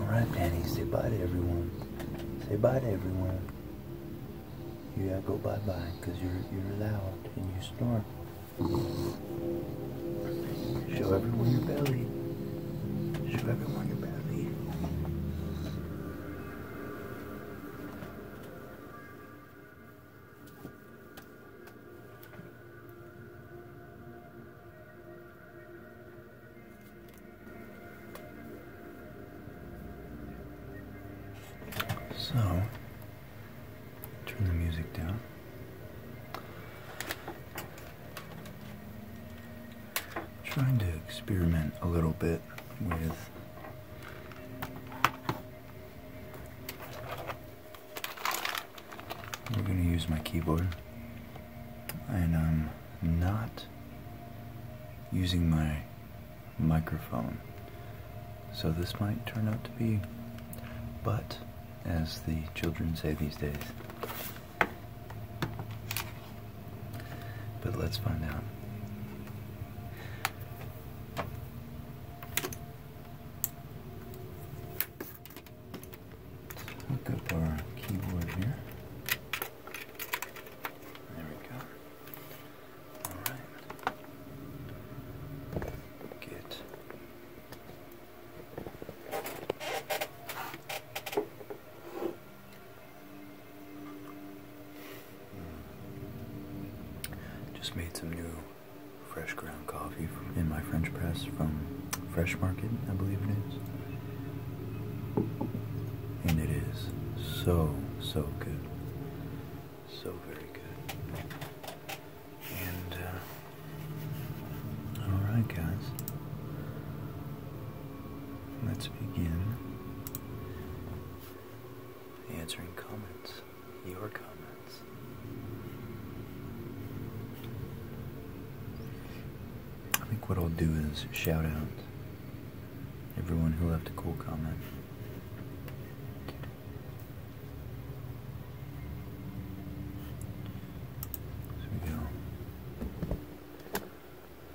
Alright, Danny, say bye to everyone. Say bye to everyone. You gotta go bye-bye, because you're, you're loud and you snore. Show everyone your belly. Show everyone your belly. So, turn the music down. I'm trying to experiment a little bit with I'm gonna use my keyboard, and I'm not using my microphone, so this might turn out to be, but as the children say these days. But let's find out. Hook up our keyboard here. There we go. Alright. Get hmm. just made some new fresh ground coffee in my French press from Fresh Market, I believe it is. And it is so, so good. So very good. And, uh, alright, guys. Let's begin answering comments. Your comments. I think what I'll do is shout out everyone who left a cool comment. So we go.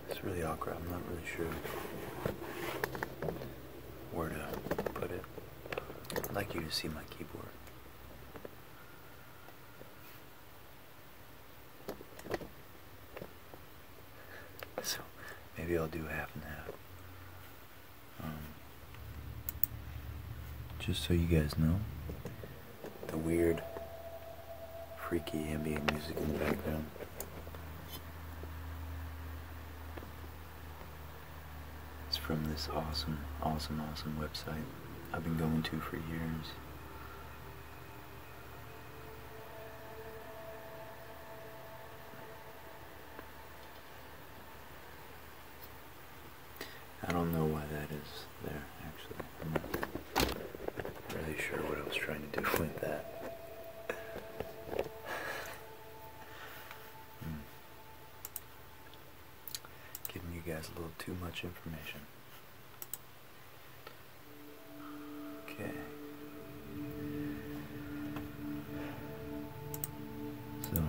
It's really awkward. I'm not really sure where to put it. I'd like you to see my keyboard. So maybe I'll do half and half. Um, just so you guys know, the weird, freaky ambient music in the background. It's from this awesome, awesome, awesome website. I've been going to for years. I don't know why that is there, actually. I'm not really sure what I was trying to do with that. Hmm. Giving you guys a little too much information. Okay. So,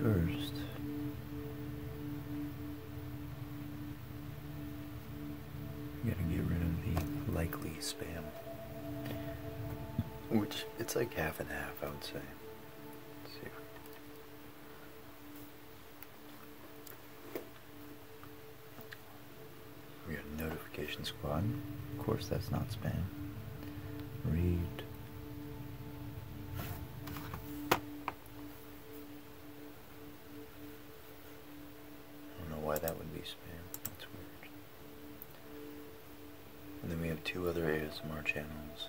first, I'm to get rid of the likely spam, which it's like half and half, I would say we have are notification squad. Of course, that's not spam. Read. I don't know why that would be spam. That's weird. And then we have two other ASMR channels.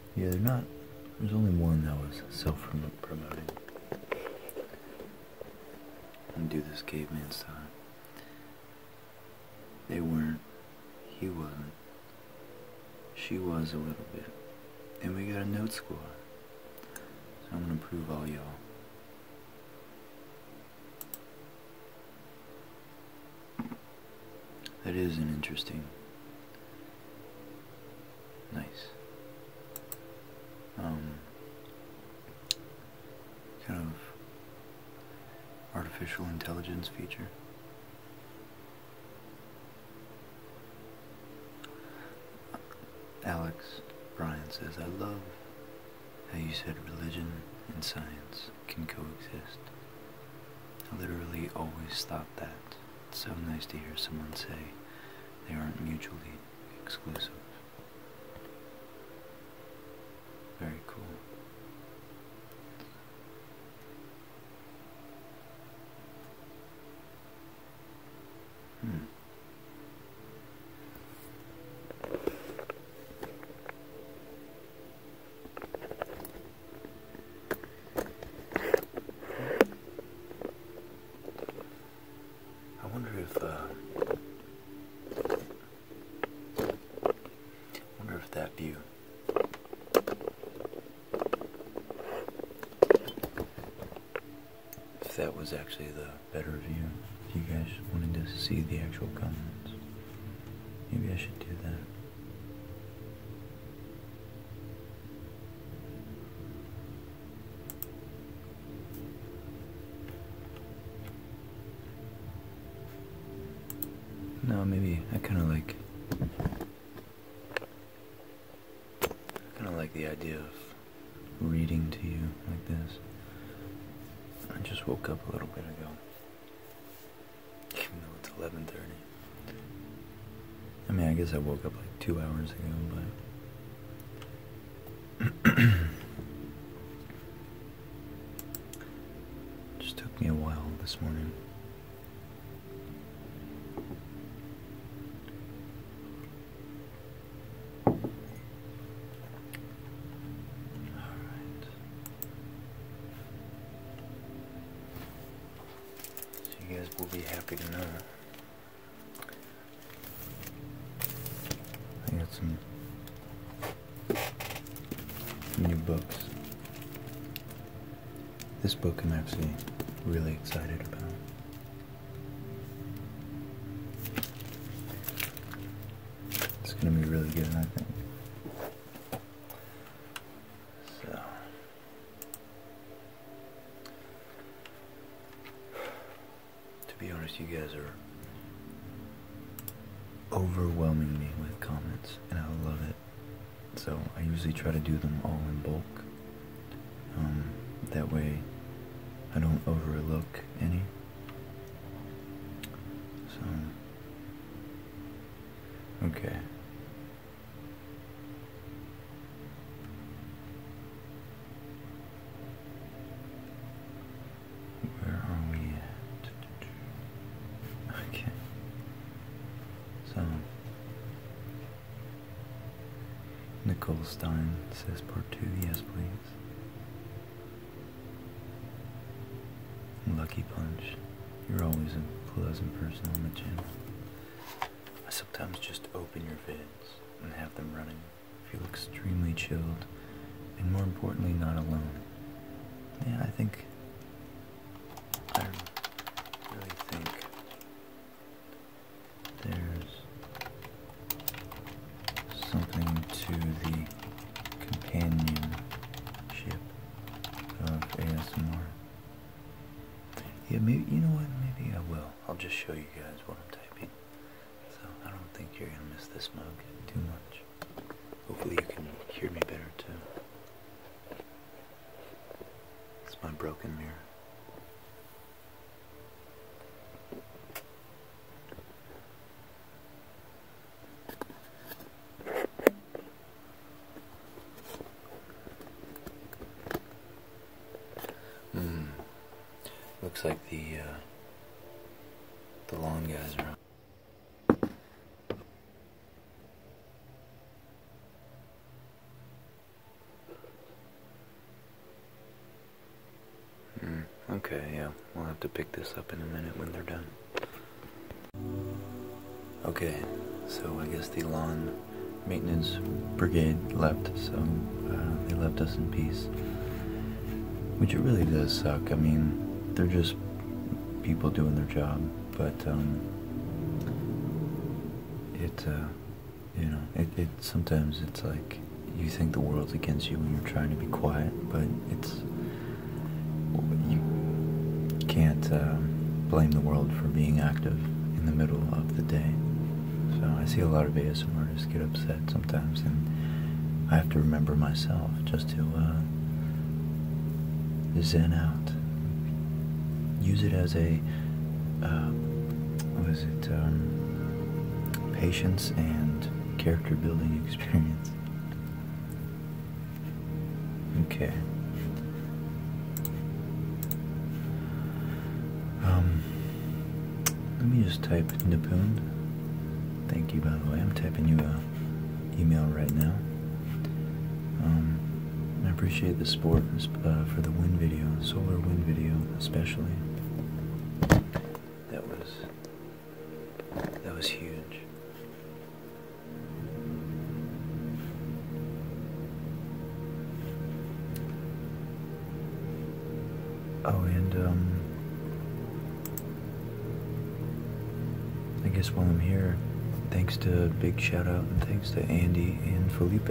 Yeah, they're not. There's only one that was self-promoting. And do this caveman sign. They weren't. He wasn't. She was a little bit. And we got a note score. So I'm gonna prove all y'all. That is an interesting Nice. Um, kind of artificial intelligence feature. Alex Brian says, I love how you said religion and science can coexist. I literally always thought that. It's so nice to hear someone say they aren't mutually exclusive. Very cool. Hmm. I wonder if uh, wonder if that view if that was actually the better view. If you guys wanted to see the actual comments, maybe I should do that. No, maybe I kind of like. I kind of like the idea of reading to you like this. I just woke up a little bit ago. it's 11:30. I mean, I guess I woke up like two hours ago, but. Just took me a while this morning. All right. you guys will be happy to know I got some new books. This book I'm actually really excited about. It's going to be really good, I think. So, to be honest, you guys are overwhelming me with comments, and I love it. So I usually try to do them all in bulk. Um, that way, I don't overlook any. So, okay. Where are we Okay. So Nicole Stein says part two, yes please. Lucky Punch. You're always a pleasant person on the channel. I sometimes just open your vid and have them running. Feel extremely chilled and more importantly, not alone. Yeah, I think. I don't really think there's something to the companionship of ASMR. Yeah, maybe you know what? Maybe I will. I'll just show you guys what I'm typing. So I don't think you're going to miss this mug too much. Hopefully you can hear me better too. It's my broken mirror. Hmm. Looks like the uh, the lawn guys are. Mm, okay, yeah, we'll have to pick this up in a minute when they're done. Okay, so I guess the lawn maintenance brigade left, so uh, they left us in peace. Which it really does suck. I mean, they're just people doing their job, but um, it, uh, you know, it, sometimes it's like you think the world's against you when you're trying to be quiet, but it's you can't um, blame the world for being active in the middle of the day. So I see a lot of ASMR artists get upset sometimes, and I have to remember myself just to uh, zen out. Use it as a uh, it? Um, patience and character building experience. Okay. Um, let me just type Nippon. Thank you, by the way. I'm typing you a email right now. Um, I appreciate the support uh, for the wind video, solar wind video especially. That was that was huge. Oh, and um, I guess while I'm here, thanks to big shout out and thanks to Andy and Felipe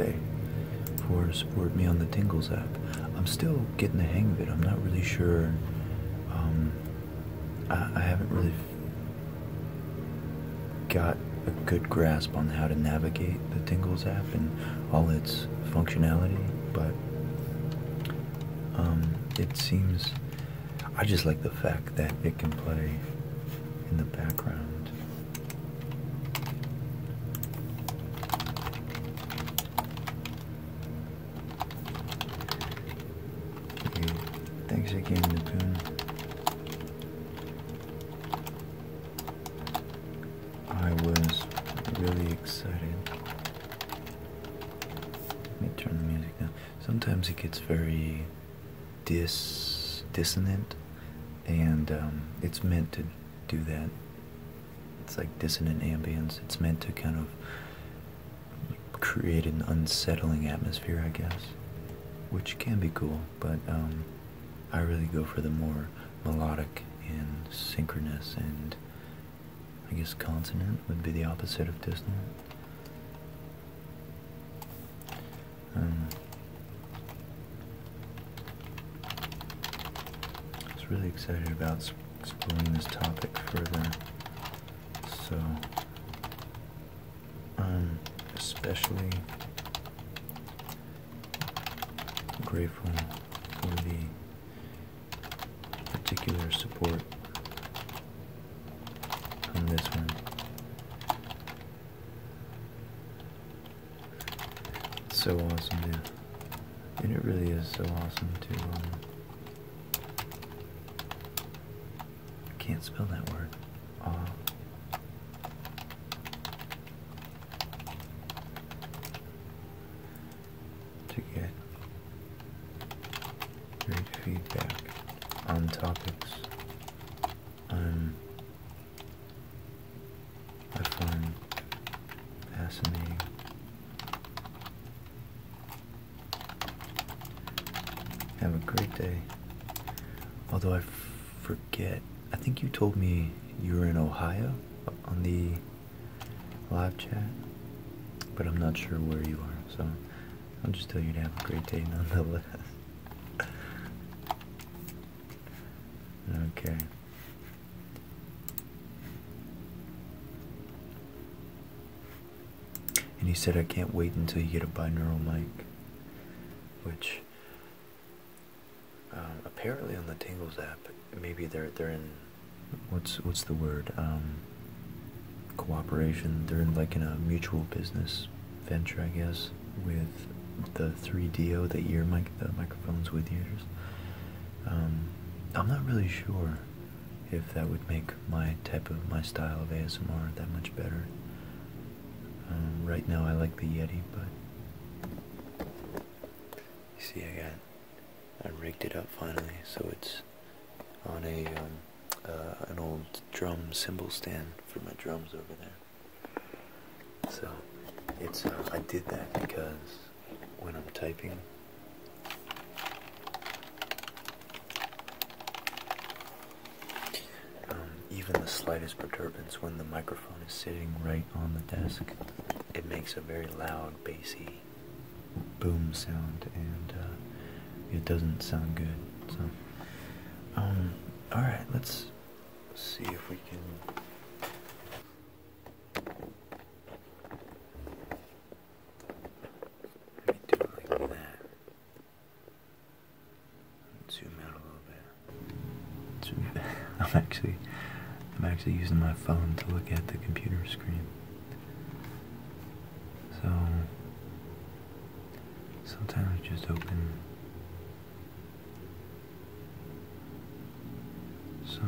for supporting me on the Tingles app. I'm still getting the hang of it. I'm not really sure. Um, I haven't really got a good grasp on how to navigate the Tingles app and all its functionality, but um, it seems I just like the fact that it can play in the background. Thanks again, Napoon. I was really excited. Let me turn the music down. Sometimes it gets very dis dissonant, and um, it's meant to do that. It's like dissonant ambience. It's meant to kind of create an unsettling atmosphere, I guess, which can be cool, but. Um, I really go for the more melodic and synchronous and I guess consonant would be the opposite of dissonant. Um, I was really excited about exploring this topic further, so um, especially grateful for the particular support on this one. so awesome, yeah. And it really is so awesome too. I um, can't spell that word. Aw to get great feedback on topics um, i find fascinating. Have a great day. Although I forget, I think you told me you were in Ohio on the live chat, but I'm not sure where you are, so I'll just tell you to have a great day nonetheless. okay. And he said, I can't wait until you get a binaural mic, which um, apparently on the Tingles app, maybe they're they're in what's what's the word? Um, cooperation. They're in like in a mutual business venture, I guess, with the 3DO, the ear mic, the microphones with ears. Um, I'm not really sure if that would make my type of my style of ASMR that much better. right now, I like the Yeti, but you see, I got I rigged it up finally, so it's on a um, uh, an old drum cymbal stand for my drums over there. So it's uh, I did that because when I'm typing. Um, even the slightest perturbation when the microphone microphone is sitting right on the desk, it makes a very loud, bassy boom sound, and uh, it doesn't sound good. So, um, all right, let's see if we can. do it like that. Zoom out a little bit. Zoom. I'm actually I'm actually using my phone to look at the computer screen. So sometimes just open so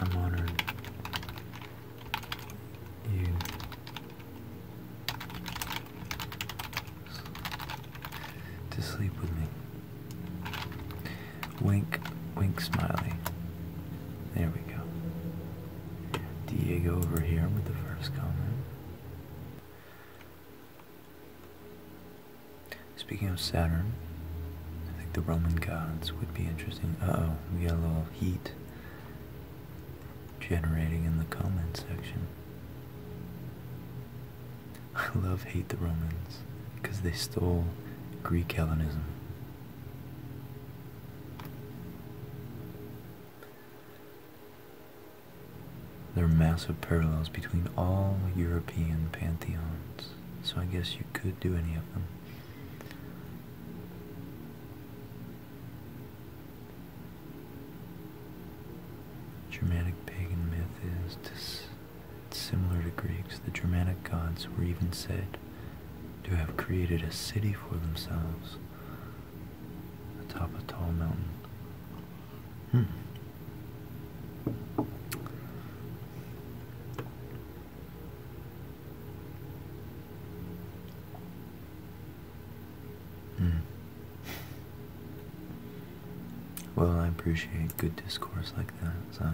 I'm honored you to sleep with me. Wink, wink, smiley. There we go. Diego over here with the first comment. Speaking of Saturn, I think the Roman gods would be interesting. Uh-oh, we got a little heat generating in the comment section. I love hate the Romans because they stole Greek Hellenism. There are massive parallels between all European pantheons, so I guess you could do any of them. Germanic pagan myth is similar to Greeks. The Germanic gods were even said to have created a city for themselves atop a tall mountain. Hmm. hmm. Well, I appreciate good discourse like that, so.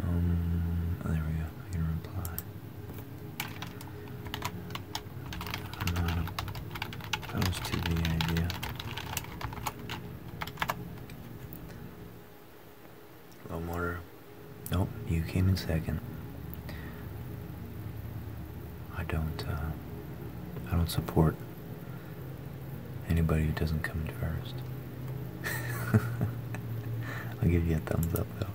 Um, there we go, I can reply. I'm not opposed to the idea. Low motor. Nope, you came in second. I don't, uh, I don't support anybody who doesn't come in first. I'll give you a thumbs up though.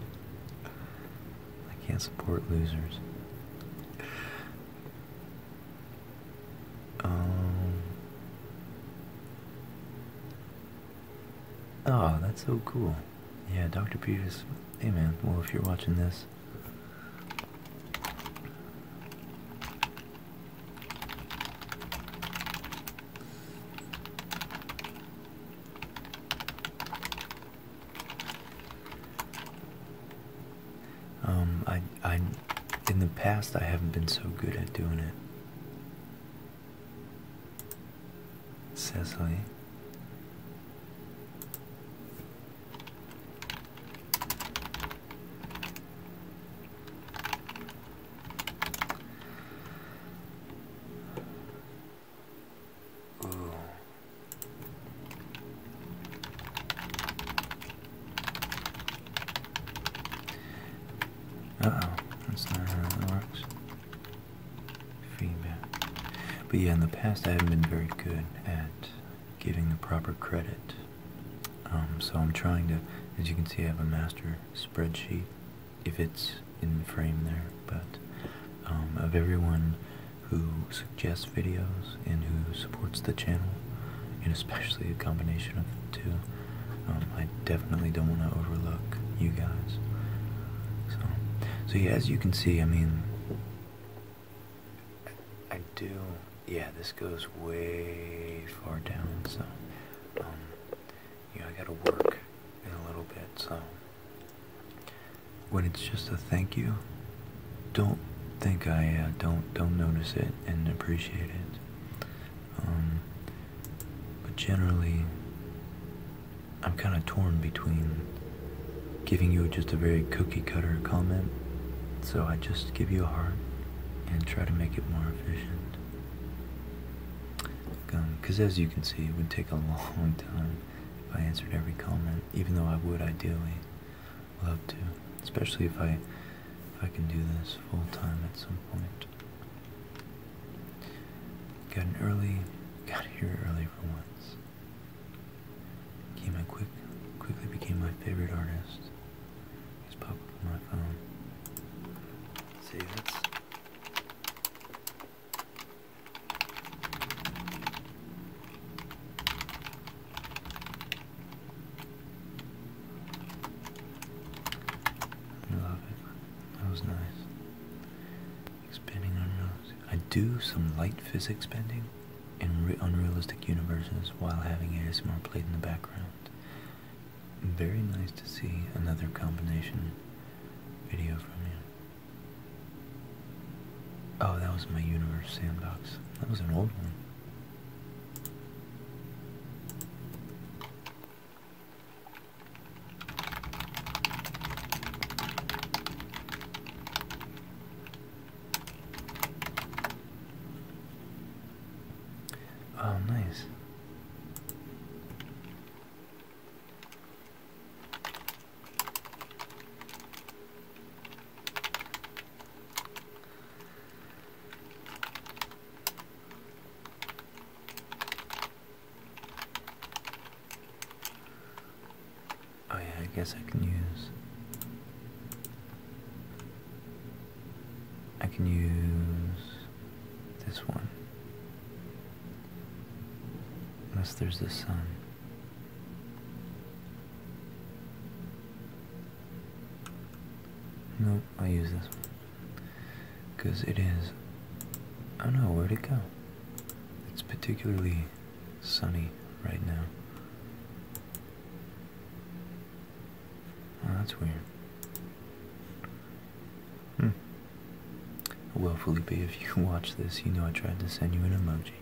I can't support losers oh, that's so cool. Yeah, Dr. Peters. Hey, man. Well, if you're watching this, um, I, I, in the past, I haven't been so good at doing it. Cecily. Oh. Uh oh, that's not how that works. Feedback. But yeah, in the past I haven't been very good at giving the proper credit. Um, so I'm trying to, as you can see, I have a master spreadsheet, if it's in frame there, but um, of everyone who suggests videos and who supports the channel and especially a combination of the two. Um, I definitely don't want to overlook you guys. So, so yeah, as you can see, I mean, I do. Yeah, this goes way far down. So, um, I gotta work in a little bit. So, when it's just a thank you, don't think I uh, don't don't notice it and appreciate it. Um, but generally, I'm kind of torn between giving you just a very cookie cutter comment, so I just give you a heart and try to make it more efficient. Because um, as you can see, it would take a long time if I answered every comment, even though I would ideally love to, especially if I if I can do this full time at some point. Got an early, got here early for once. Came in quick, quickly became my favorite artist. Just pop up see, that's I love it. That was nice. Expanding unrealistic. I do some light physics bending in unrealistic universes while having ASMR played in the background. Very nice to see another combination video from you. Oh, that was my universe sandbox. That was an old one. Oh, nice. Oh yeah, I guess I can use I can use this one. Unless there's the sun. No. I'll use this one because it is I don't know where'd it go. It's particularly sunny right now. Oh, that's weird. Hmm. Well, Felipe, if you watch this, you know I tried to send you an emoji.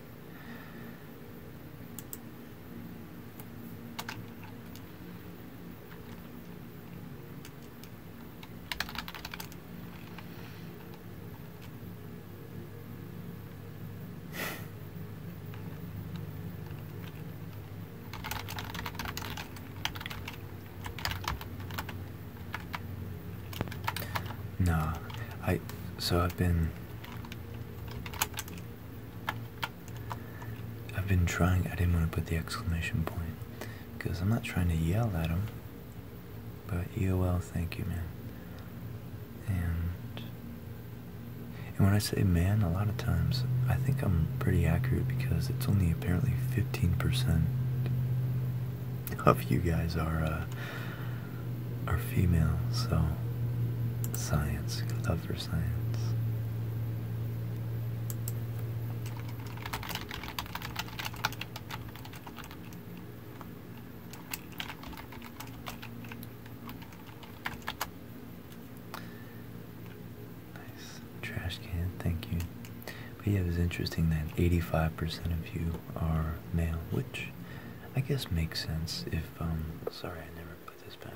No, I. So I've been. I've been trying, I didn't want to put the exclamation point because I'm not trying to yell at him. But EOL, thank you, man. And and when I say man, a lot of times I think I'm pretty accurate because it's only apparently 15% of you guys are uh, are female. So science, love Nice trash can, thank you. But yeah, it was interesting that 85% of you are male, which I guess makes sense if, um, sorry, I never put this back.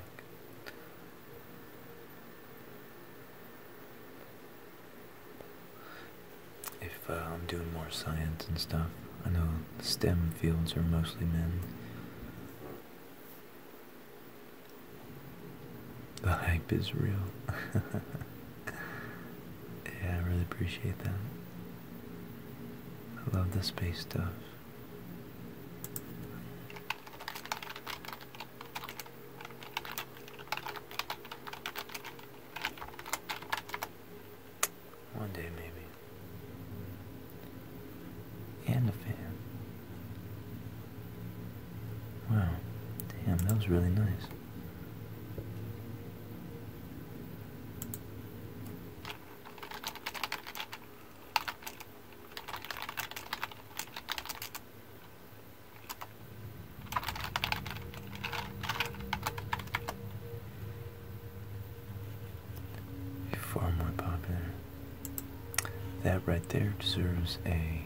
If uh, I'm doing more science and stuff, I know STEM fields are mostly men. The hype is real. yeah, I really appreciate that. I love the space stuff. One day, maybe. And the fan. Wow, damn, that was really nice. Far more popular. That right there deserves a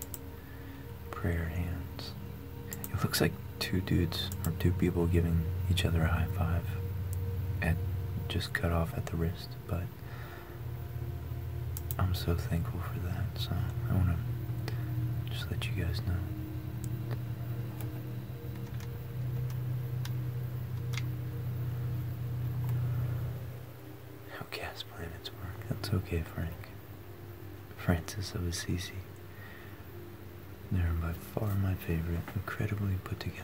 prayer hands. It looks like two dudes or two people giving each other a high five and just cut off at the wrist, but I'm so thankful for that, so I want to just let you guys know. How gas planets work. That's okay, Frank. Francis of Assisi. They're by far my favorite, incredibly put together.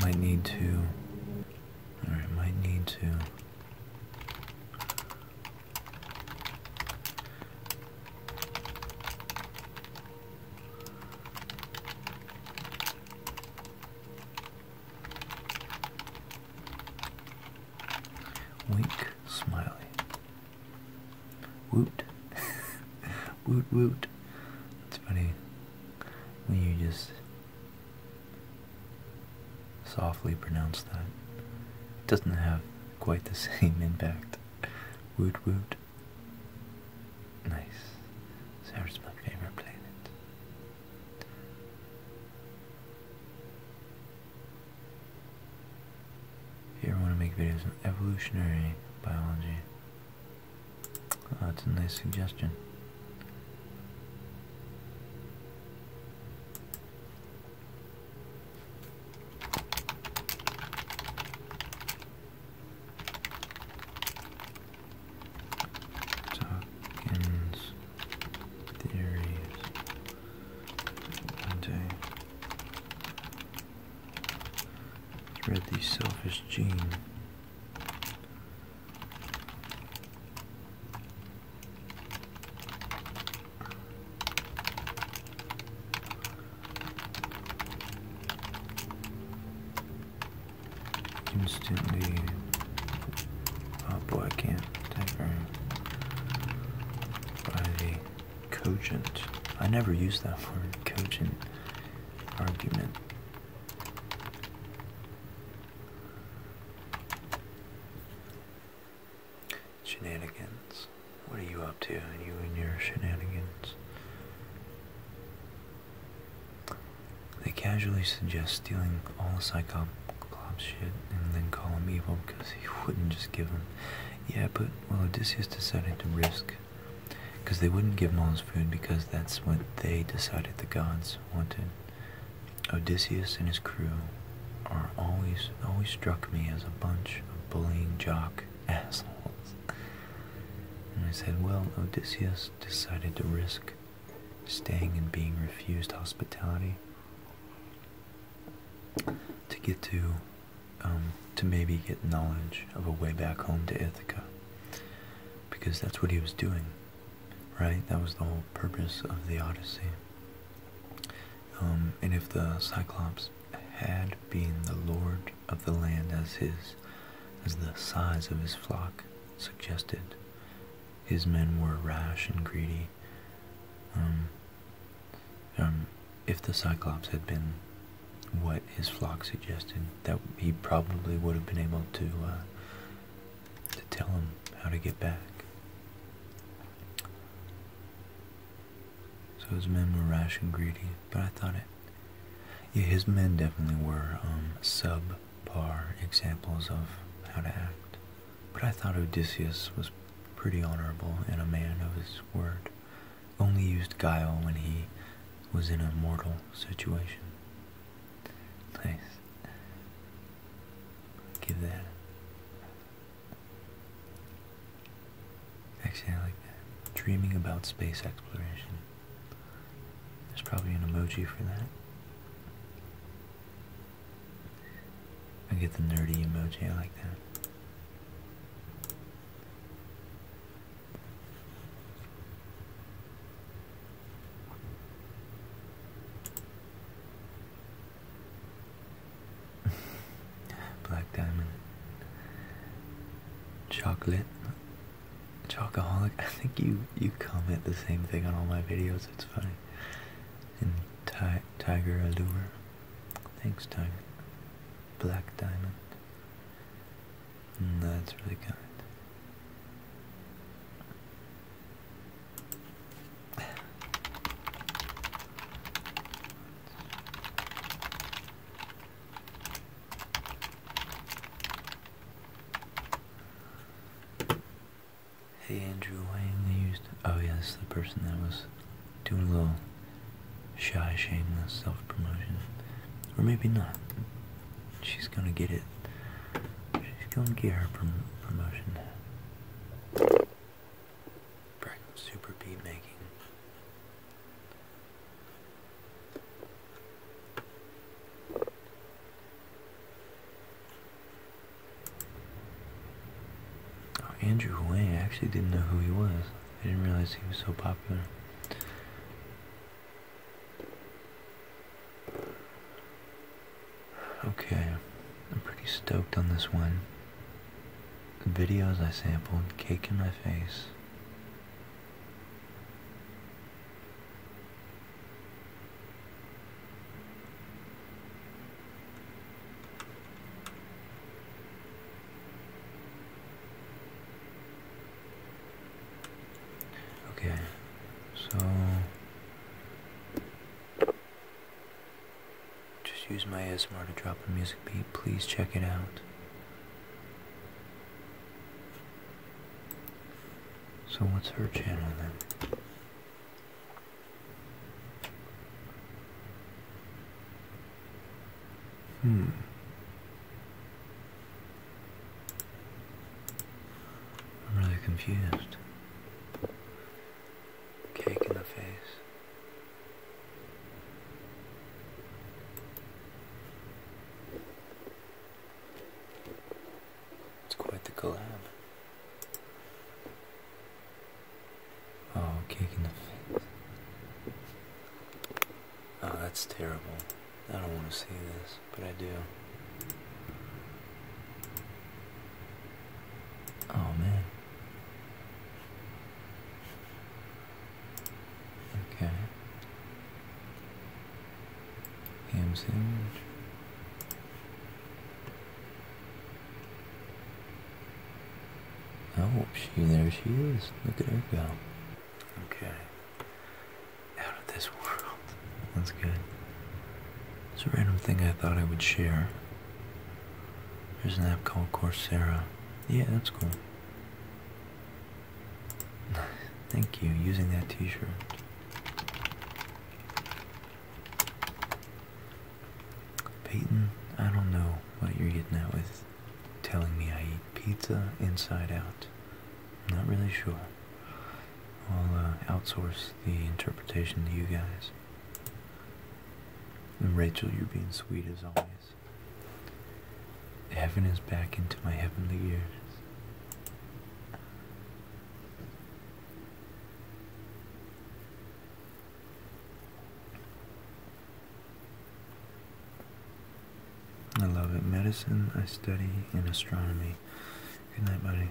Might need to. Alright, might need to. Wink, smiley. Woot. woot woot. It's funny when you just softly pronounce that. It doesn't have quite the same impact. Woot woot. Nice. Sarah's my favorite planet. If you ever want to make videos on evolutionary biology, uh, that's a nice suggestion. Dawkins theories. Monday. Read these selfish genes. Instantly. Oh boy, I can't. Temporary. By cogent. I never use that word, cogent argument. Shenanigans. What are you up to, you and your shenanigans? They casually suggest stealing all the psychopaths' shit and then call them evil because he wouldn't just give them. Yeah, but well, Odysseus decided to risk, because they wouldn't give him all his food because that's what they decided the gods wanted. Odysseus and his crew are always always struck me as a bunch of bullying jock assholes. And I said, well, Odysseus decided to risk staying and being refused hospitality to get to um, to maybe get knowledge of a way back home to Ithaca. Because that's what he was doing, right? That was the whole purpose of the Odyssey. Um, and if the Cyclops had been the lord of the land as his, as the size of his flock suggested, his men were rash and greedy. Um, if the Cyclops had been what his flock suggested, that he probably would have been able to uh, to tell him how to get back. So his men were rash and greedy, but I thought it. Yeah, his men definitely were um, subpar examples of how to act. But I thought Odysseus was pretty honorable and a man of his word only used guile when he was in a mortal situation. Nice. Give that. Actually, I like that. Dreaming about space exploration. There's probably an emoji for that. I get the nerdy emoji, I like that. Black Diamond. Chocolate. Chocoholic. I think you you comment the same thing on all my videos. It's funny. And Tiger Allure. Thanks, Tiger. Black Diamond. That's really kind. Hey Andrew Wang, I used. Oh, yes, this the person that was doing a little shy, shameless self-promotion, or maybe not. She's gonna get it. She's gonna get her prom promotion. Super beat making. Oh, Andrew Wang, I actually didn't know who he was. I didn't realize he was so popular. Okay, I'm pretty stoked on this one. The videos I sampled, Cake in My Face. Okay, so just use my ASMR to drop a music beat. Please check it out. So what's her channel then? Hmm. I'm really confused. Cake in the face. It's quite the collab. Oh, cake in the face. Oh, that's terrible. I don't want to see this, but I do. Oh, man. Okay. Ham sandwich. Oh, she, there she is. Look at her go. Okay. Out of this world. That's good. It's a random thing I thought I would share. There's an app called Coursera. Yeah, that's cool. Thank you, using that t-shirt. Peyton, I don't know what you're getting at with telling me I eat pizza inside out. I'm not really sure. I'll uh, outsource the interpretation to you guys. And Rachel, you're being sweet as always. Heaven is back into my heavenly ears. I love it. Medicine, I study in astronomy. Good night, buddy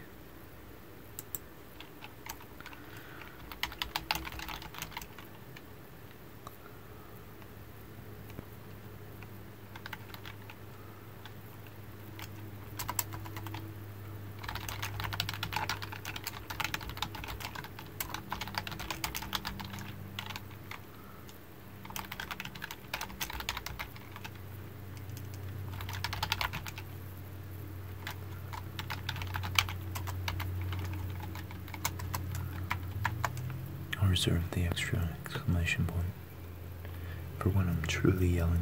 i reserve the extra exclamation point for when I'm truly yelling.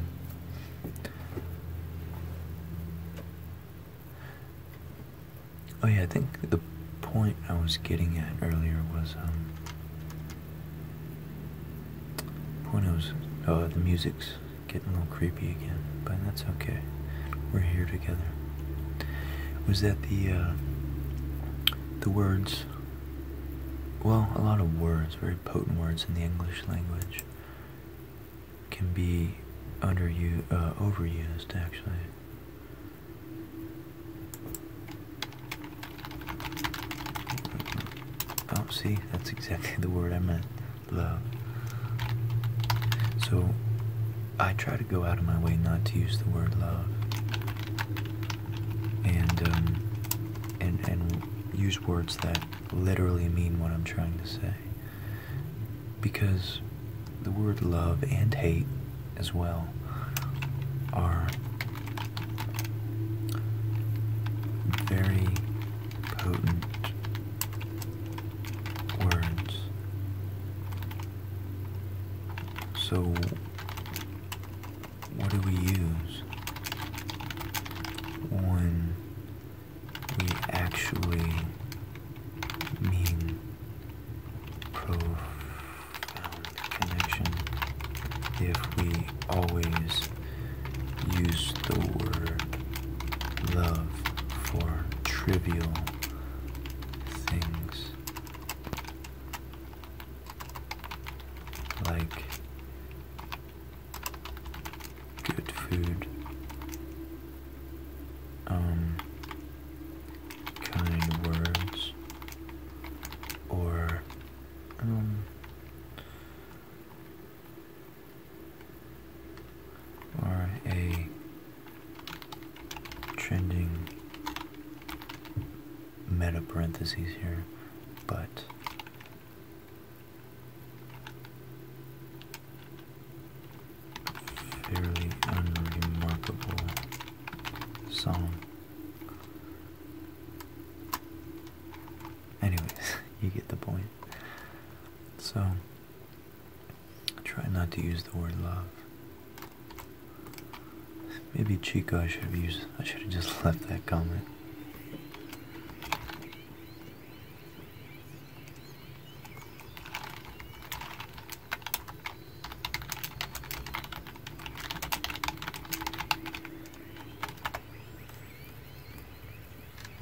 Oh yeah, I think the point I was getting at earlier was um, point I was oh the music's getting a little creepy again, but that's okay. We're here together. Was that the uh, the words well, a lot of words, very potent words in the English language can be under you uh, overused actually Oh, see, that's exactly the word I meant. Love. So, I try to go out of my way not to use the word love, and um, and and use words that literally mean what I'm trying to say, because the word love and hate as well are very potent words. So, what do we use when we actually mean profound? Um, connection if we always use the word love for trivial things like good food um kind words or um, or a trending meta parentheses here, but fairly unremarkable song. Anyways, you get the point. So, try not to use the word love. Maybe Chico I should have used, I should have just left that comment.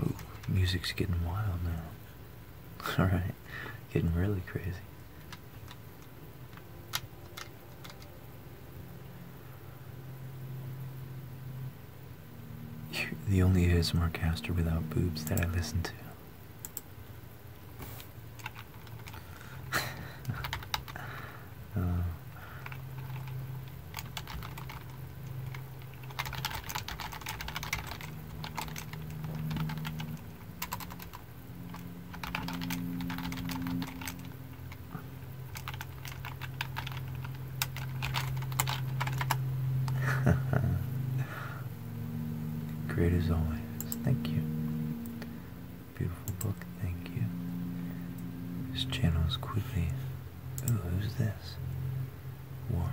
Ooh, music's getting wild now. Alright, getting really crazy. the only ASMR without boobs that I listen to. Uh, great as always. Thank you. Beautiful book, thank you. This channel is quickly. Ooh, who's this? Warmth.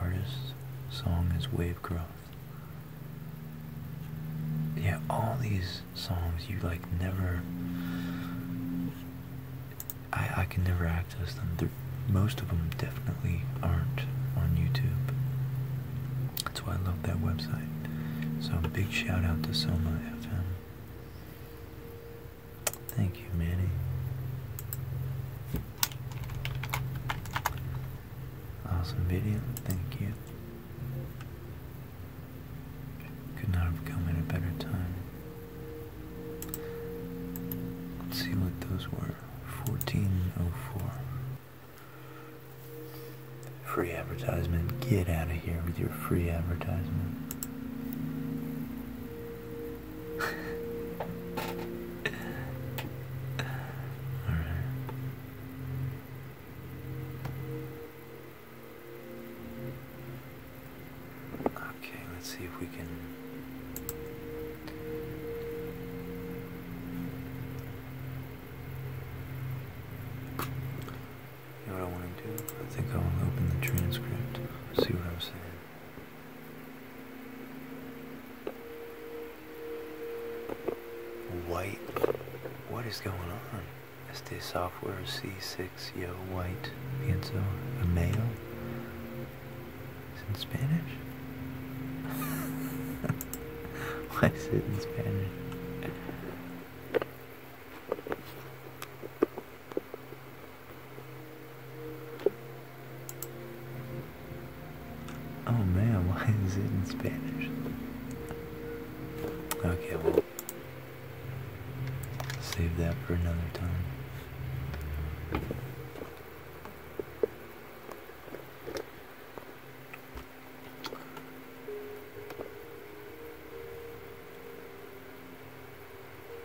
Artist. Song is Wave Growth. Yeah, all these songs you like never. I, I can never access them. most of them definitely aren't on YouTube. That's why I love that website. So big shout out to Soma FM. Thank you, Manny. Awesome video, thank you. Could not have come at a better time. Let's see what those were. 1404. Free advertisement. Get out of here with your free advertisement. All right. Okay, let's see if we can. You know what I want to do? I think I will open the transcript, see what I'm saying. White. What is going on? SD Software C6 Yo White Pienso a male? Is in Spanish? Why is it in Spanish? Oh man, why is it in Spanish? Okay, well, save that for another time.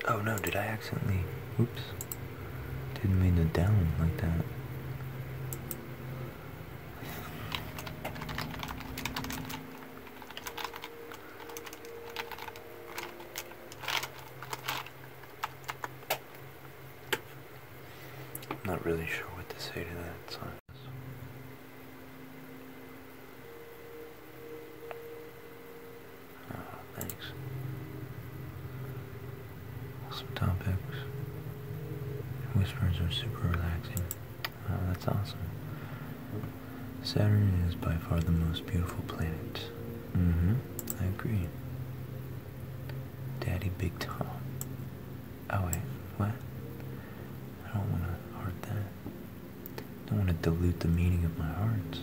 Oh no, did I accidentally... Oops. Didn't mean to down like that. I'm not really sure what to say to that, Oh, thanks. Some topics. Whispers are super relaxing. that's awesome. Saturn is by far the most beautiful planet. Mm-hmm. I agree. Daddy Big Tom. Oh wait, what? I don't want to hurt that. Don't want to dilute the meaning of my heart.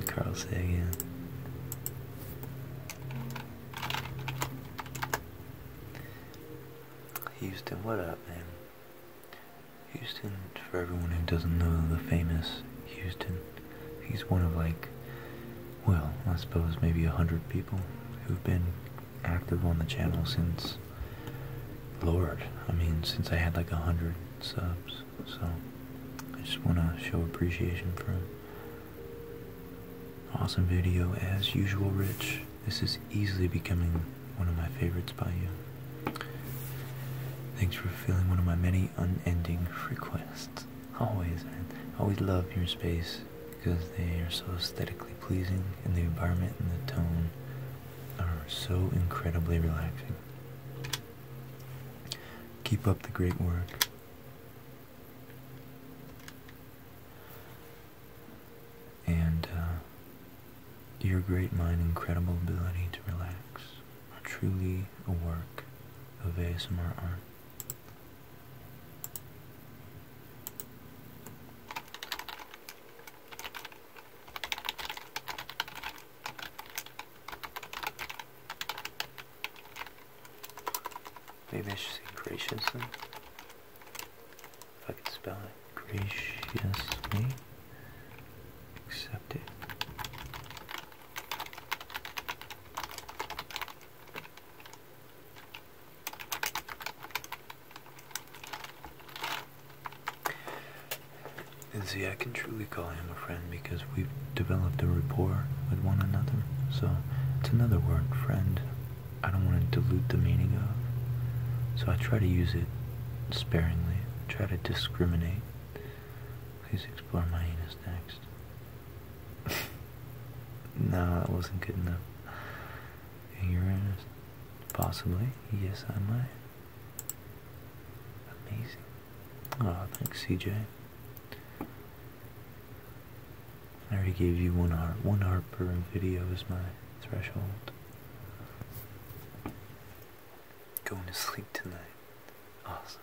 Carl Sagan. Houston, what up, man? Houston, for everyone who doesn't know the famous Houston, he's one of like well, I suppose maybe a hundred people who've been active on the channel since, Lord, I mean, since I had like a hundred subs, so I just want to show appreciation for him. Awesome video as usual, Rich. This is easily becoming one of my favorites by you. Thanks for filling one of my many unending requests. Always, man. Always love your space because they are so aesthetically pleasing and the environment and the tone are so incredibly relaxing. Keep up the great work. And uh, your great mind, incredible ability to relax, are truly a work of ASMR art. Maybe I should say graciously. If I can spell it graciously. Accept it. And see, I can truly call him a friend because we've developed a rapport with one another. So it's another word, friend. I don't want to dilute the meaning of. So I try to use it sparingly, try to discriminate. Please explore my anus next. no, that wasn't good enough. You're Uranus, possibly. Yes, I might. Amazing. Oh, thanks, CJ. I already gave you one heart. One heart per video is my threshold. Going to sleep tonight. Awesome.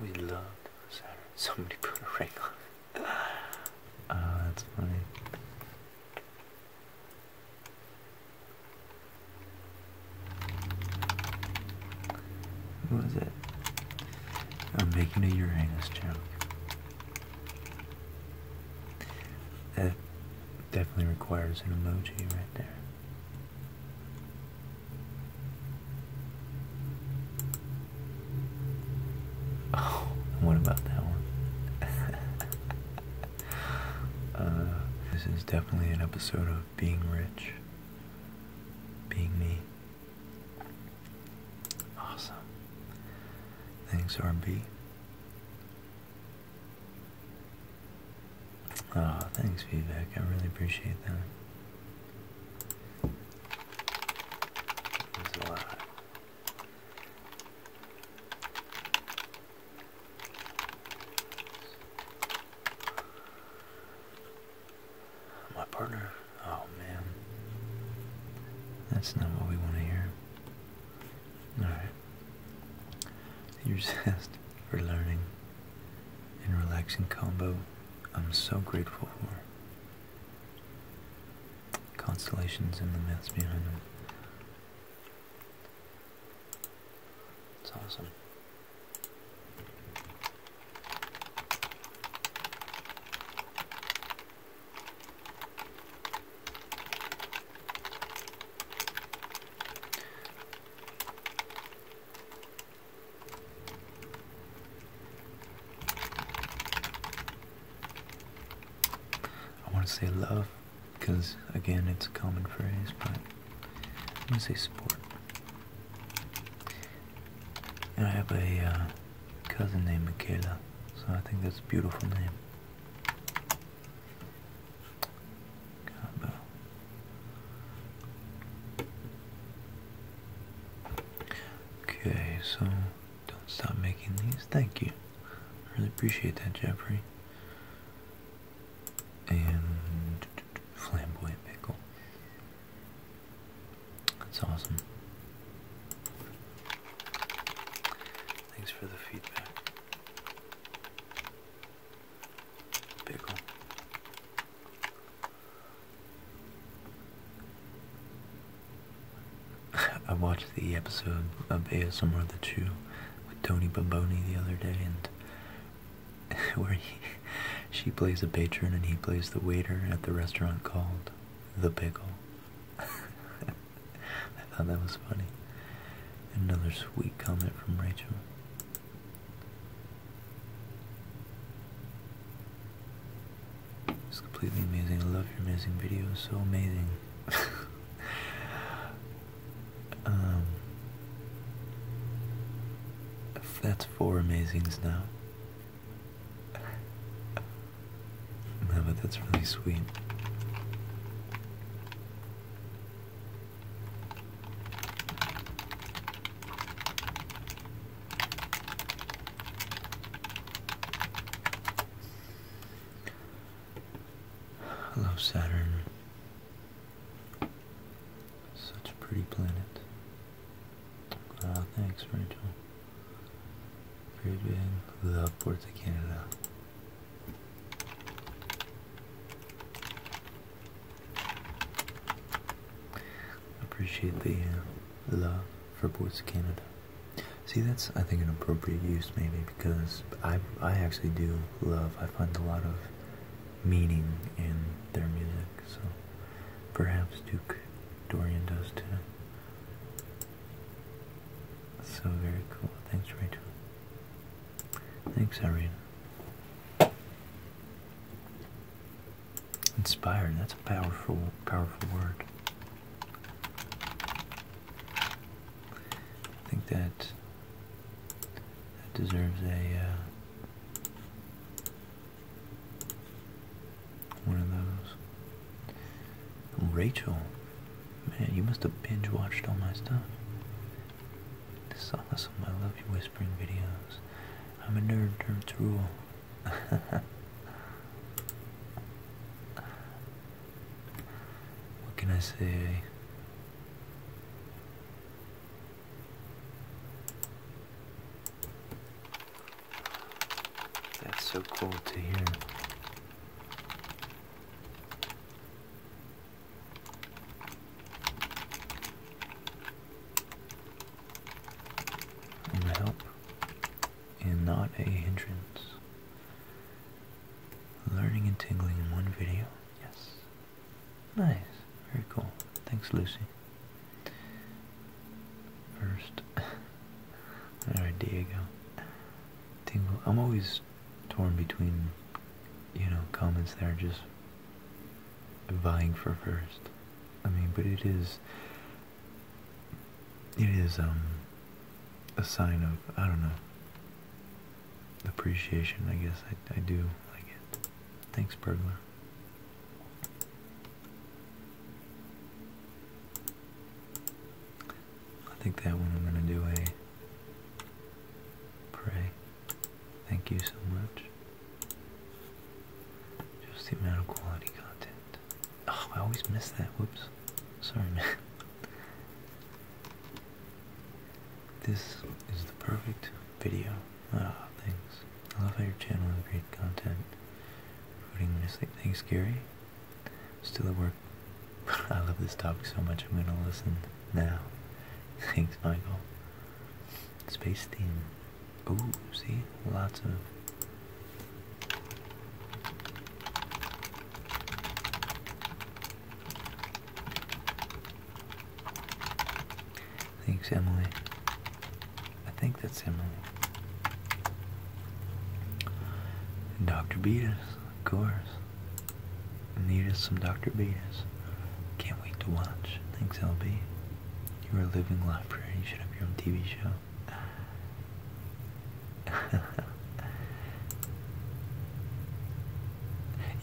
We love Saturn. Somebody put a ring on. Ah, that's funny. What it? I'm making a Uranus joke. That definitely requires an emoji right there. Oh, what about that one? Uh, this is definitely an episode of being rich, being me. Awesome. Thanks, RB. Ah, thanks, feedback. I really appreciate that. That's a lot. My partner? Oh man. That's not what we want to hear. Alright. Your zest for learning and relaxing combo I'm so grateful for. Constellations and the myths behind them. It's awesome. I want to say love because again it's a common phrase, but I'm going to say sport. I have a uh, cousin named Michaela, so I think that's a beautiful name. Okay, so don't stop making these. Thank you. I really appreciate that, Jeffrey. And flamboyant pickle. That's awesome. Thanks for the feedback. I watched the episode of ASMR The Chew with Tony Baboni the other day and where he, she plays a patron and he plays the waiter at the restaurant called The Pickle. I thought that was funny. Another sweet comment from Rachel. It's completely amazing. I love your amazing videos. So amazing. um, that's four amazings now. No, but that's really sweet. Hello, Saturn. Such a pretty planet. Uh, thanks, Rachel. Very big. Love Porto Canada. Appreciate the uh, love for Boards Canada. See, that's I think an appropriate use maybe because I I actually do love. I find a lot of meaning in their music, so perhaps Duke Dorian does too. So very cool. Thanks, Rachel. Thanks, Irene. Inspired, that's a powerful, powerful word. I think that that deserves a uh, one of those. Rachel, man, you must have binge watched all my stuff. This is awesome. I love you whispering videos. I'm a nerd, nerds rule. what can I say? That's so cool to hear i help and not a hindrance. Learning and tingling in one video. Yes. Nice. Very cool. Thanks, Lucy. First. Alright, Diego. Tingle. I'm always torn between, you know, comments that are just vying for first. I mean, but it is, it is um, a sign of I don't know appreciation. I guess I I do like it. Thanks, burglar. I think that one I'm gonna do a pray. Thank you so much. Just the amount of quality content. I always miss that. Whoops. Sorry, man. This is the perfect video. Ah, thanks. I love how your channel has great content. Putting me to sleep. Thanks, Gary. Still at work. I love this topic so much. I'm going to listen now. Thanks, Michael. Space theme. Oh, see? Lots of Thanks, Emily. I think that's Emily. Dr. Beatus, of course. Need us some Dr. Beatus. Can't wait to watch. Thanks, LB. You are a living library. You should have your own TV show.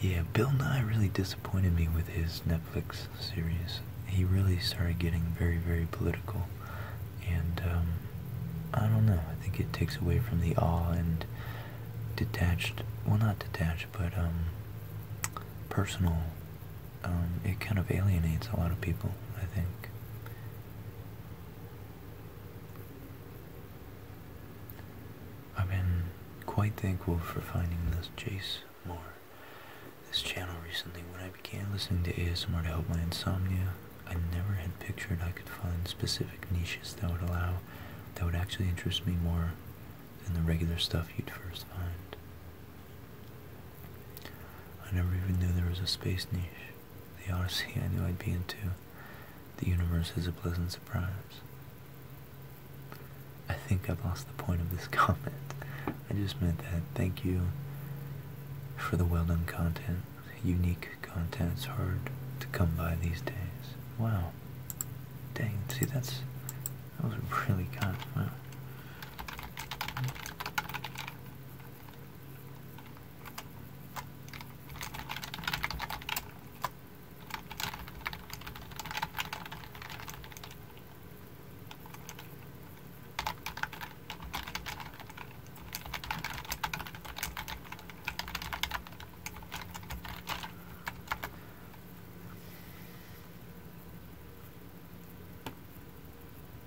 yeah, Bill Nye really disappointed me with his Netflix series. He really started getting very, very political. And, um, I don't know. I think it takes away from the awe and detached, well, not detached but um, personal. Um, it kind of alienates a lot of people, I think. I've been quite thankful for finding this Jace this channel recently. When I began listening to ASMR to help my insomnia, I never had pictured I could find specific niches that would allow, that would actually interest me more than the regular stuff you'd first find. I never even knew there was a space niche. The Odyssey I knew I'd be into. The universe is a pleasant surprise. I think I've lost the point of this comment. I just meant that. Thank you for the well done content. Unique content's hard to come by these days. Wow. Dang, see that's that was really good.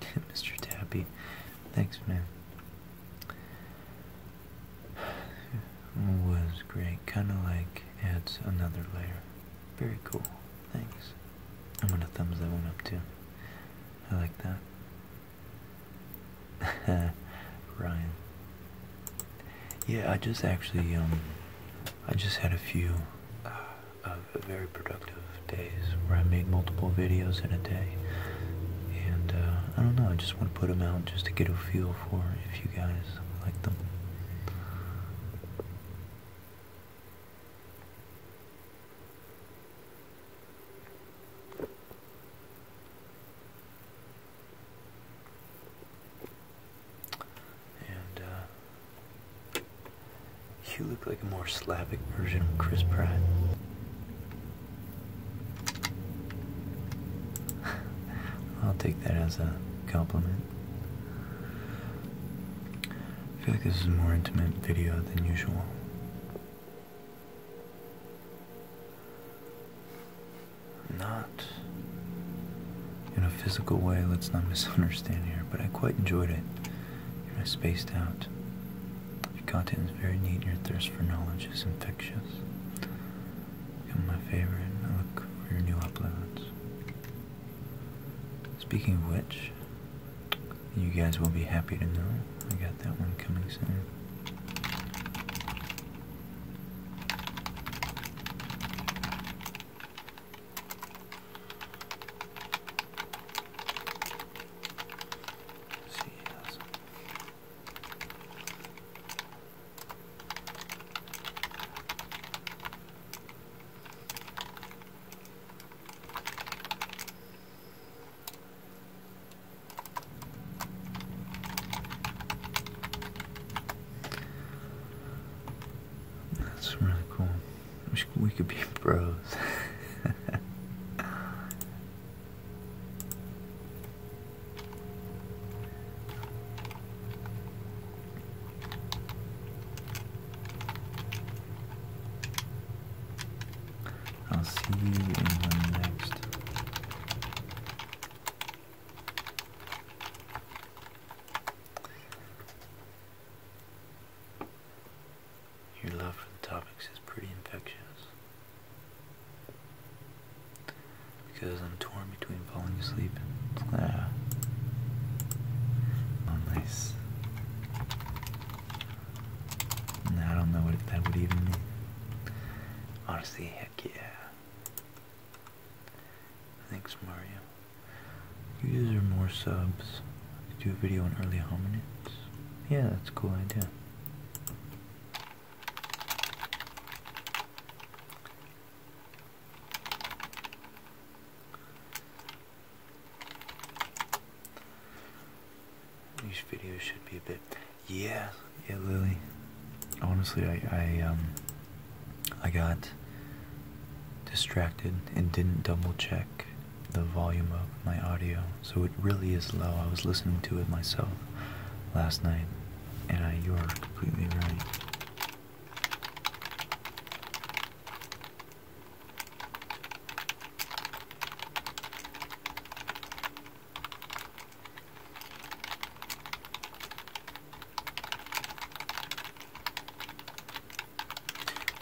Mr. Tappy, thanks, man. Was great, kind of like adds another layer. Very cool, thanks. I'm gonna thumbs that one up too. I like that. Ryan. Yeah, I just actually um, I just had a few of very productive days where I make multiple videos in a day. And uh, I don't know, I just want to put them out just to get a feel for if you guys like them. And uh, you look like a more Slavic version of Chris Pratt. I'll take that as a compliment. I feel like this is a more intimate video than usual. not in a physical way, let's not misunderstand here, but I quite enjoyed it. You are spaced out. Your content is very neat, your thirst for knowledge is infectious. Become my favorite, I look for your new uploads. Speaking of which, you guys will be happy to know I got that one coming soon. See, yes. That's really cool. Wish we could be bros. I'll see you in the next. Your love for the topics is pretty infectious. Because I'm torn between falling asleep and. Uh, ah, nice. I don't know what that would even mean. Honestly, heck yeah. Thanks, Mario. Use or more subs. Do a video on early hominids. Yeah, that's a cool idea. These videos should be a bit. Yeah, yeah, Lily. Honestly, I, I um, I got distracted and didn't double check the volume of my audio, so it really is low. I was listening to it myself last night, and you are completely right.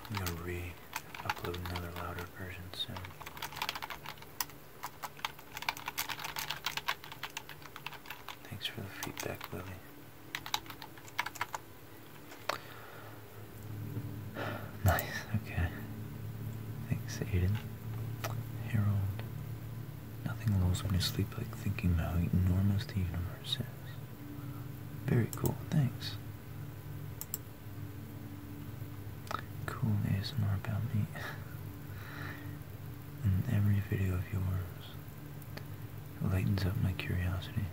I'm going to re-upload another louder version soon. Thanks for the feedback, Lily. nice, okay. Thanks, Aiden. Harold. Nothing lulls me to sleep like thinking how enormous the universe is. Very cool, thanks. Cool more about me. and every video of yours lightens up my curiosity.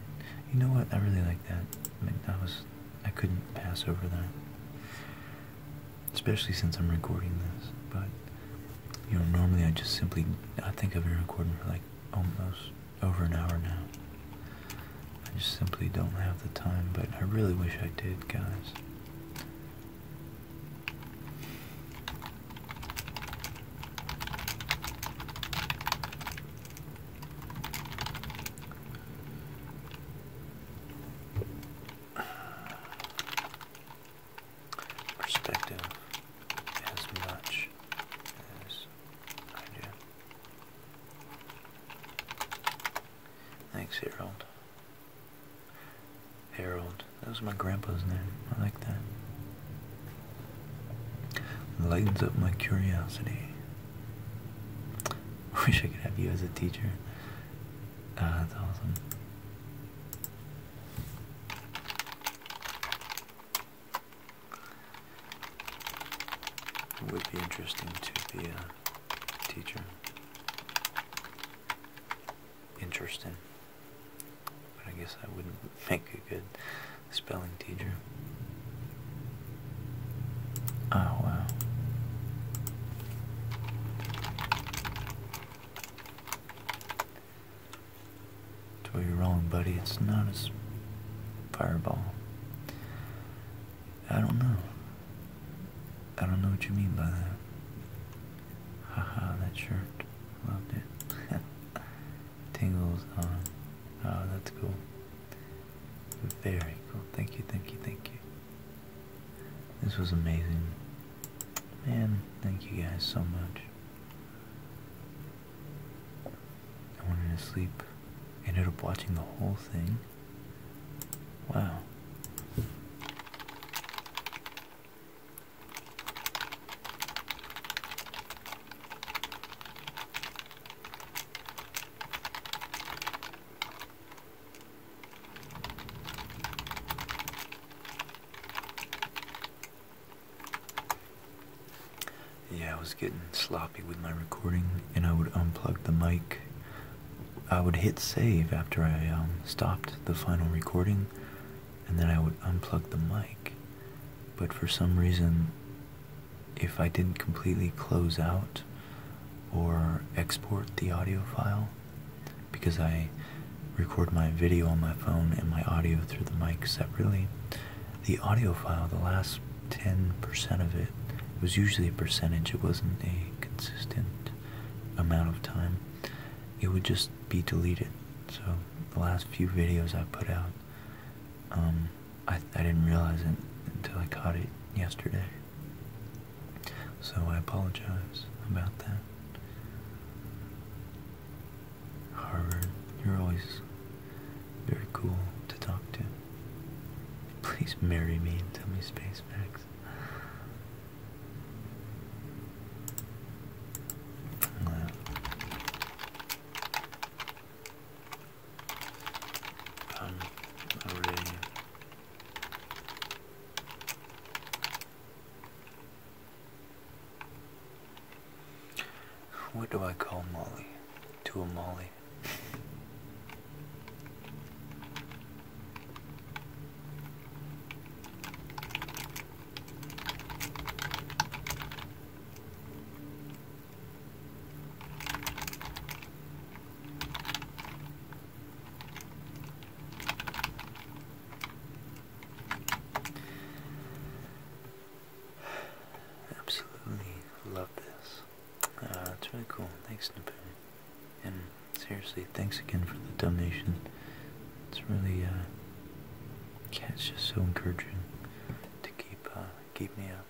You know what? I really like that. I that was I couldn't pass over that. Especially since I'm recording this, but you know, normally I just simply I think I've been recording for like almost over an hour now. I just simply don't have the time, but I really wish I did, guys. Perspective as much as I Thanks, Harold. Harold. That was my grandpa's name. I like that. Lightens up my curiosity. Wish I could have you as a teacher. Ah, that's awesome. It would be interesting to be a teacher. Interesting. But I guess I wouldn't make a good spelling teacher. Oh, wow. That's where you're wrong, buddy. It's not a fireball. I don't know. I don't know what you mean by that. Haha, that shirt. Loved it. Tingles on. Oh, that's cool. Very cool. Thank you, thank you, thank you. This was amazing. Man, thank you guys so much. I wanted to sleep. I ended up watching the whole thing. Wow. Yeah, I was getting sloppy with my recording, and I would unplug the mic. I would hit save after I um, stopped the final recording, and then I would unplug the mic. But for some reason, if I didn't completely close out or export the audio file, because I record my video on my phone and my audio through the mic separately, the audio file, the last 10% of it, was usually a percentage, it wasn't a consistent amount of time, it would just be deleted. So the last few videos I put out, um, I, I didn't realize it until I caught it yesterday. So I apologize about that. Harvard, you're always very cool to talk to. Please marry me and tell me Space Max. Um, What do I call Molly? to a molly. Absolutely love this. Uh, it's really cool. Thanks, Nipper. And seriously, thanks again for the donation. It's really, uh, yeah, it's just so encouraging to keep, uh, keep me up.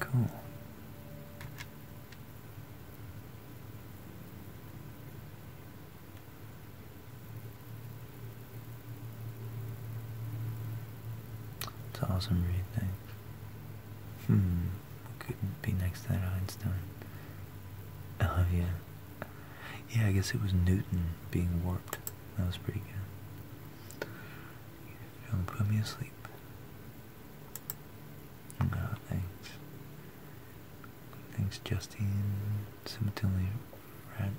Cool. It's awesome read, Hmm, couldn't be next to that Einstein. Oh yeah. Yeah, I guess it was Newton being warped. That was pretty good. Don't put me asleep. Oh, thanks. Thanks, Justine. Simultaneously,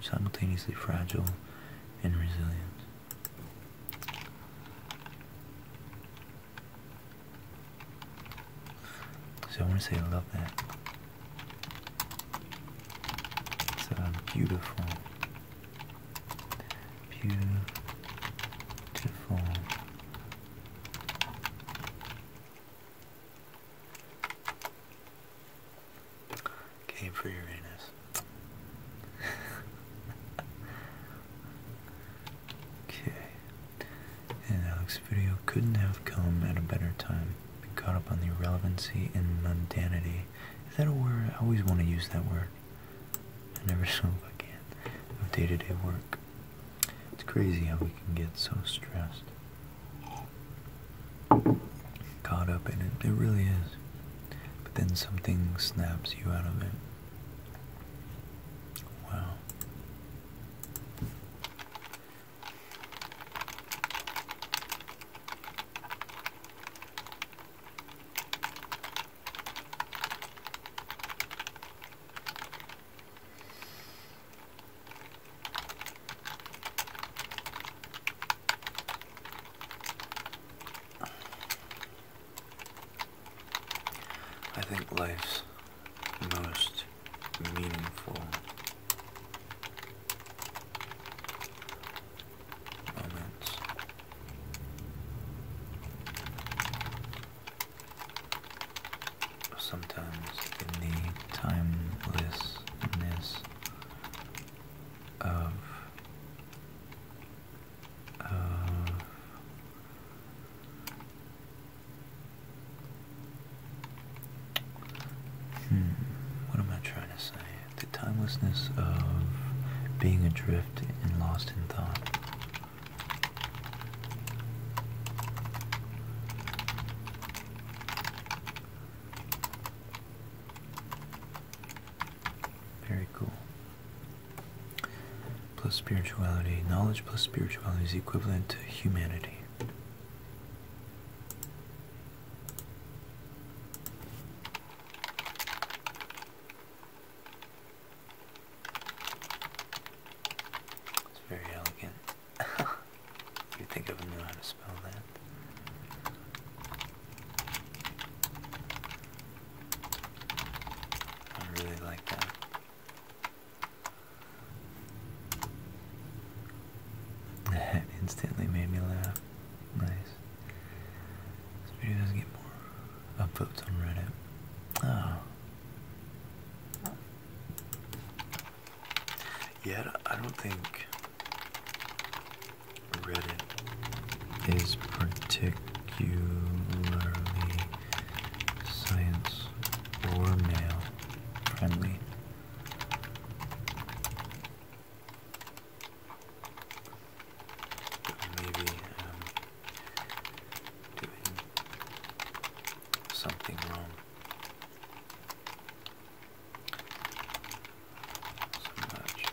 simultaneously fragile and resilient. So I want to say I love that. So beautiful, beautiful Came for Uranus. okay. And Alex's video couldn't have come at a better time. Been caught up on the irrelevancy and mundanity. Is that a word? I always want to use that word. I never know if I can. Of day to -day work. It's crazy how we can get so stressed, caught up in it. It really is. But then something snaps you out of it. Wow. I think life's most meaningful moments sometimes in the timelessness of of hmm, what am I trying to say? The timelessness of being adrift and lost in thought. Very cool. Plus spirituality. Knowledge plus spirituality is equivalent to humanity. It's very elegant. you think I would know how to spell that. I really like that. That instantly made me laugh. Nice. This video does get more upvotes on Reddit. Oh. Yeah, I don't think Reddit is particularly science or male friendly. maybe um, doing something wrong. So much.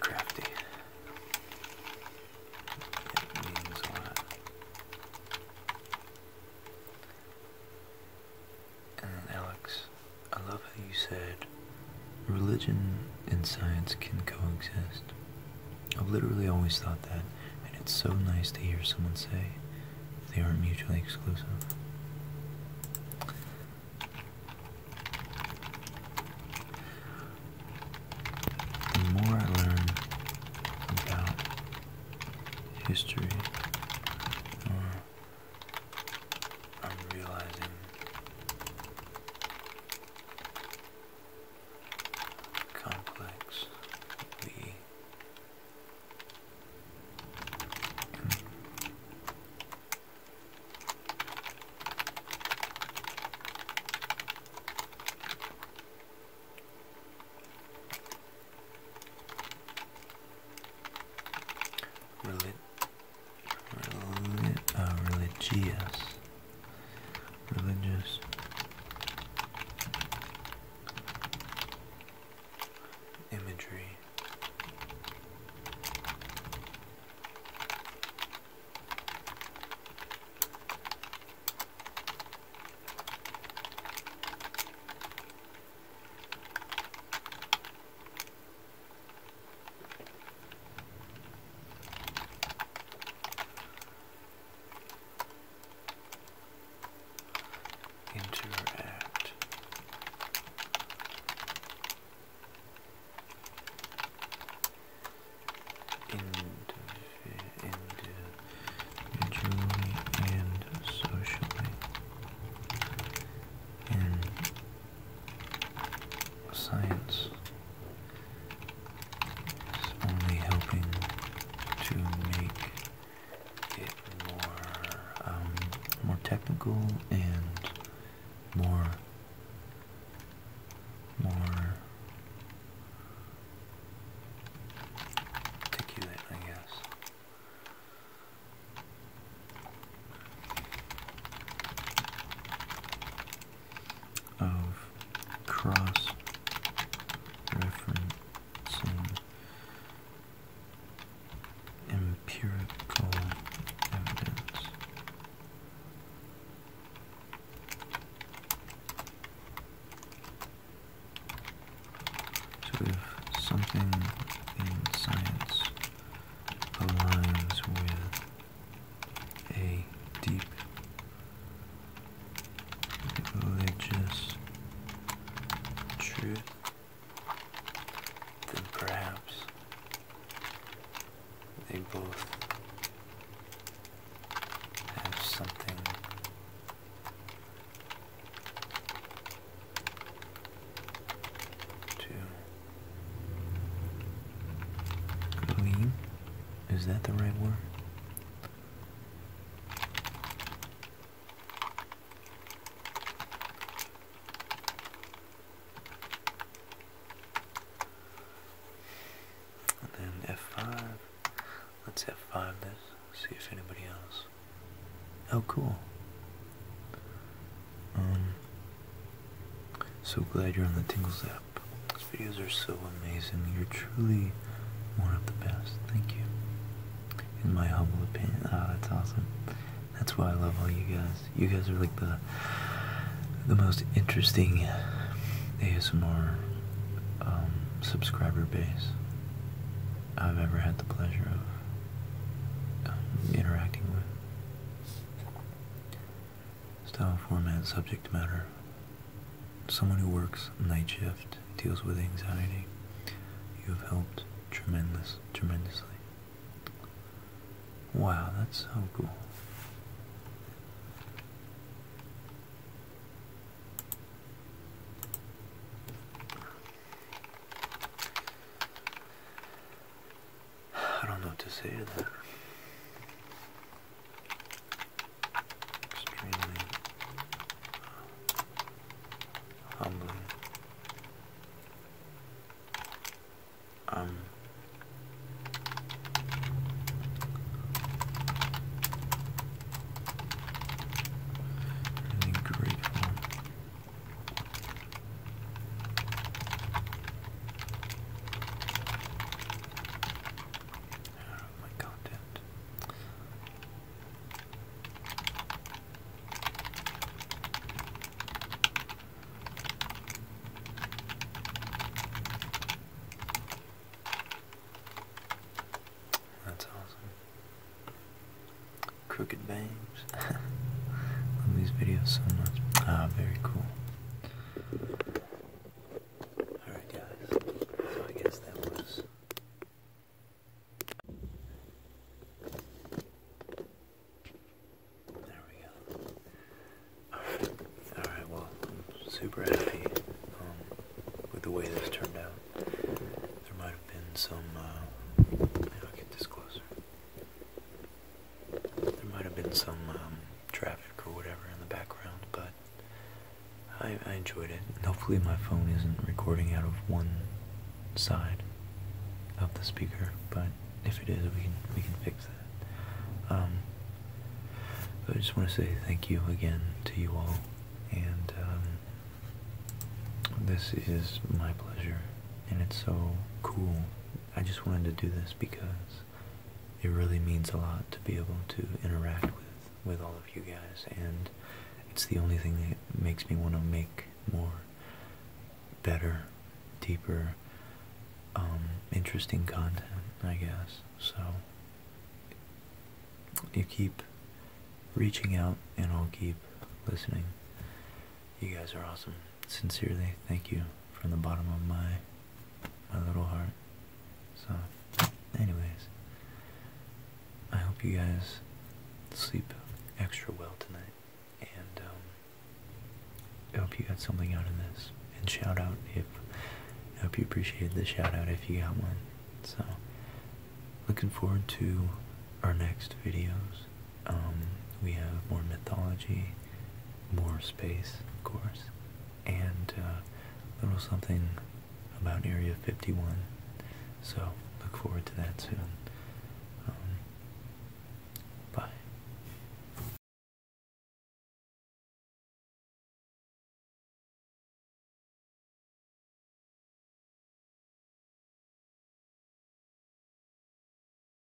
Crafty. It means a lot. And Alex I love how you said religion and science can coexist. I've literally always thought that, and it's so nice to hear someone say they aren't mutually exclusive. The more I learn about history or I'm realizing complex the religious. Religious. Imagery. Interact. Individually and socially. And Science is only helping to make it more, um, more technical and more, more articulate, I guess of cross referencing empirical evidence. So something in science aligns with a deep religious truth, then perhaps they both have something to Lean? Is that the right word? And then F5. Let's F5 this, see if anybody else. Oh, cool. Um, so glad you're on the Tingles app. These videos are so amazing. You're truly one of the best. Thank you. In my humble opinion, ah, that's awesome. That's why I love all you guys. You guys are like the the most interesting ASMR um, subscriber base I've ever had the pleasure of um, interacting with. Style, format, subject matter. Someone who works night shift deals with anxiety. You have helped tremendous, tremendously. Wow, that's so cool. I don't know what to say that. Extremely humbling. Um, really grateful Oh, That's awesome. Crooked Babes. Love these videos so much. Ah, very cool. Alright, guys, so I guess that was. There we go. Alright, well, I'm super happy um, with the way this turned out. There might have been some. Uh, i get this closer. There might have been some um, traffic or whatever in the background, but I, enjoyed it. hopefully, my phone isn't recording out of one side of the speaker, but if it is, we can we can fix that. Um, I just want to say thank you again to you all, and um, this is my pleasure, and it's so cool. I just wanted to do this because it really means a lot to be able to interact with with all of you guys and it's the only thing that makes me want to make more better deeper um, interesting content I guess so you keep reaching out and I'll keep listening you guys are awesome sincerely thank you from the bottom of my my little heart. So, anyways, I hope you guys sleep extra well tonight. And um, I hope you got something out of this. And shout out if, I hope you appreciated the shout out if you got one. So, looking forward to our next videos. Um, we have more mythology, more space, of course, and a uh, little something about Area 51. So look forward to that soon. Um, bye.